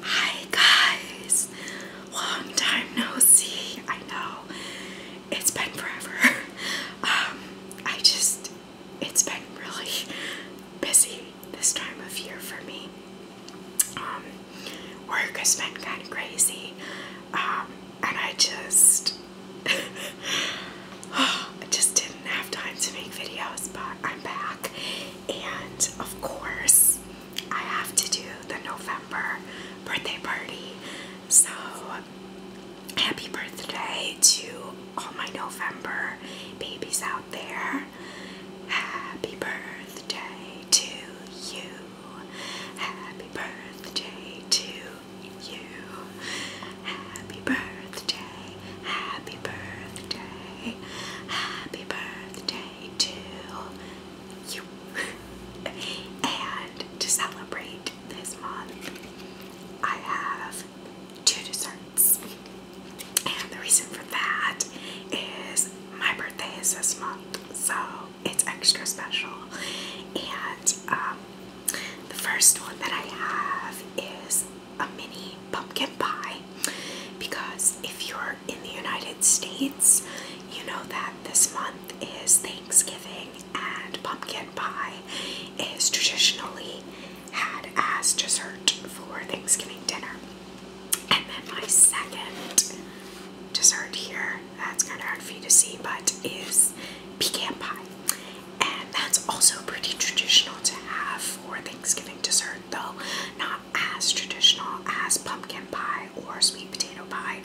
Hi guys! Long time no see. I know it's been forever. Um, I just, it's been really busy this time of year for me. Um, work has been kind of crazy. Um, and I just, I just didn't have time to make videos, but I'm back and of course, I have to do the November birthday party. So, happy birthday to all my November babies out there. Happy birthday to you. Happy birthday to you. Happy birthday happy birthday, happy birthday to you. and to celebrate this month, I have two desserts. And the reason for that is my birthday is this month, so it's extra special. And um, the first one that I have is a mini pumpkin pie because if you're in the United States, you know that this month is Thanksgiving and pumpkin pie is traditionally had as dessert for Thanksgiving dinner. And then my second dessert here, that's kind of hard for you to see, but is pecan pie. And that's also pretty traditional to have for Thanksgiving dessert, though not as traditional as pumpkin pie or sweet potato pie,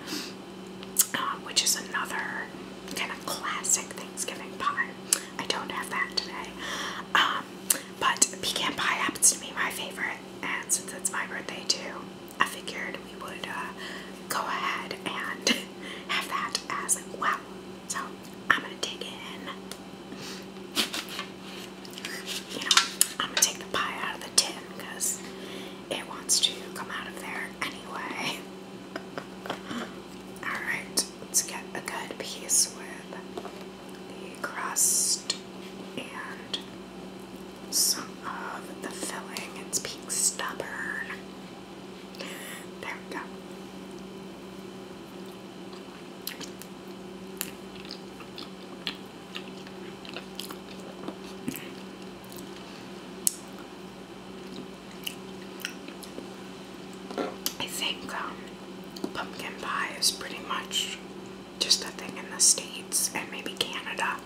um, which is another kind of classic Thanksgiving pie. I don't have that today. Um, but pecan pie happens to be my favorite, and since it's my birthday too, I figured we would uh, go ahead and have that as well. So I'm gonna dig in. You know, I'm gonna take the pie out of the tin because it wants to come out of there anyway. Alright, let's get a good piece with the crust and some of the filling. It's being stubborn. There we go. I think um, pumpkin pie is pretty much just a thing in the States and maybe Canada.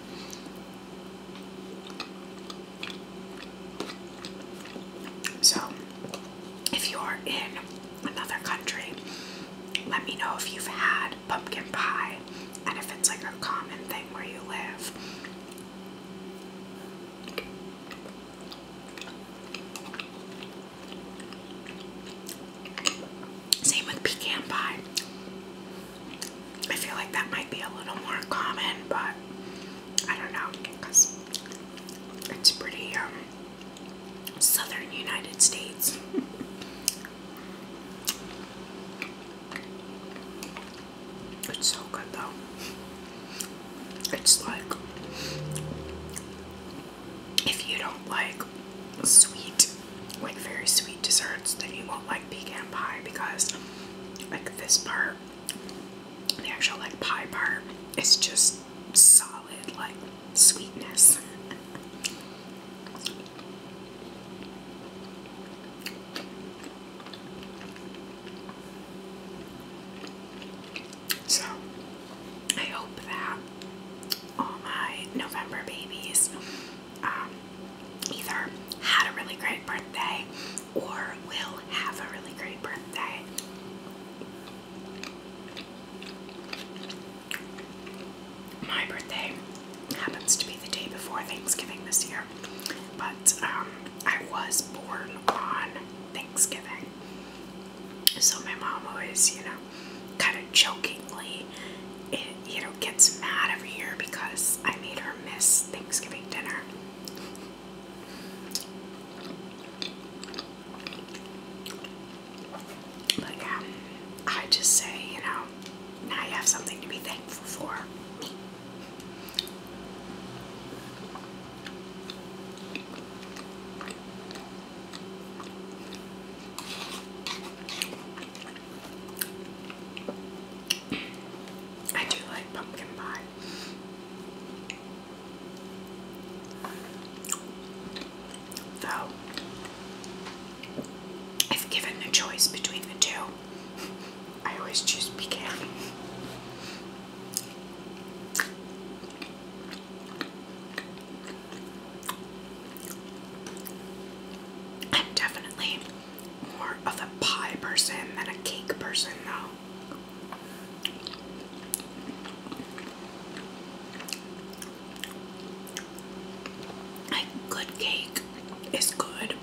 So, if you're in another country, let me know if you've had pumpkin pie and if it's like a common thing where you live. Same with pecan pie. I feel like that might be a little more common, but I don't know, because it's pretty um, southern United States. it's so good though. It's like if you don't like sweet, like very sweet desserts, then you won't like pecan pie because like this part the actual like pie part is just solid like sweetness. So, I hope that all my November babies um, either had a really great great birthday or will have a really great birthday. My birthday happens to be the day before Thanksgiving this year, but um, I was born on Thanksgiving. So my mom always, you know, kind of jokingly, eh, you know, gets mad every year because I made her miss Thanksgiving dinner. But yeah, I just say, you know, now you have something to be thankful for. I do like pumpkin pie if given the choice between the two, I always choose pecan. I'm definitely more of a pie person than a cake person, though. Like, good cake is good,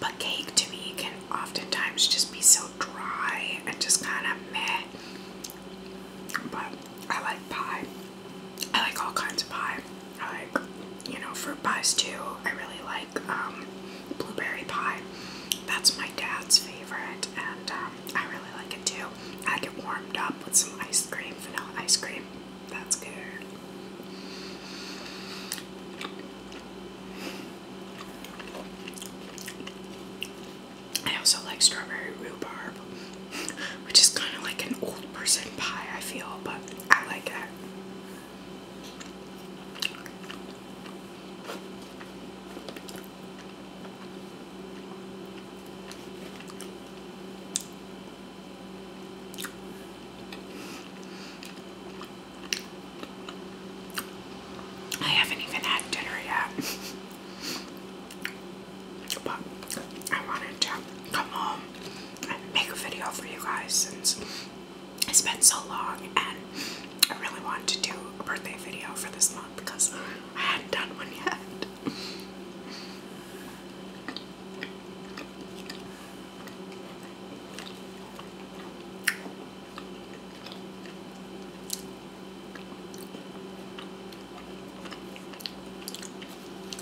but cake to me can oftentimes just be so dry and just kind of meh. But I like pie. I like all kinds of pie. like, you know, fruit pies too. I really like um, blueberry pie. That's my dad's favorite, and um, I really like it too. I get warmed up with some ice cream, vanilla ice cream. That's good. I also like strawberry rhubarb, which is kind of like an old person pie, I feel, but I like it. I haven't even had dinner yet, but I wanted to come home and make a video for you guys since it's been so long and I really want to do a birthday video for this month because I hadn't done one yet.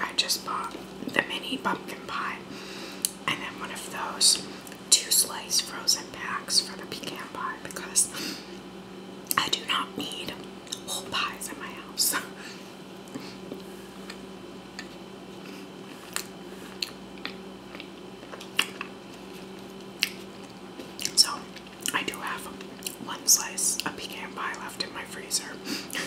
I just bought the mini pumpkin pie and then one of those two slice frozen packs for the pecan pie because I do not need whole pies in my house. So, I do have one slice of pecan pie left in my freezer.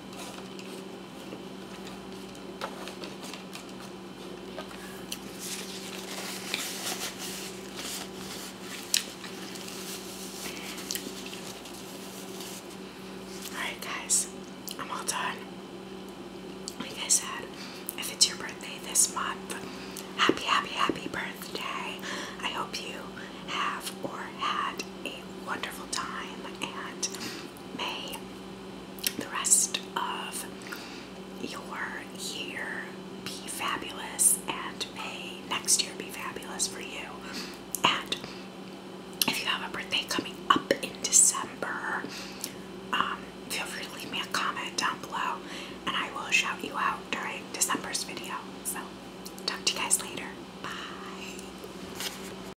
Alright guys, I'm all done. Like I said, if it's your birthday this month, happy, happy, happy birthday. I hope you have or had a wonderful time and may the rest of your year be fabulous, and may next year be fabulous for you. And if you have a birthday coming up in December, um, feel free to leave me a comment down below, and I will shout you out during December's video. So, talk to you guys later. Bye.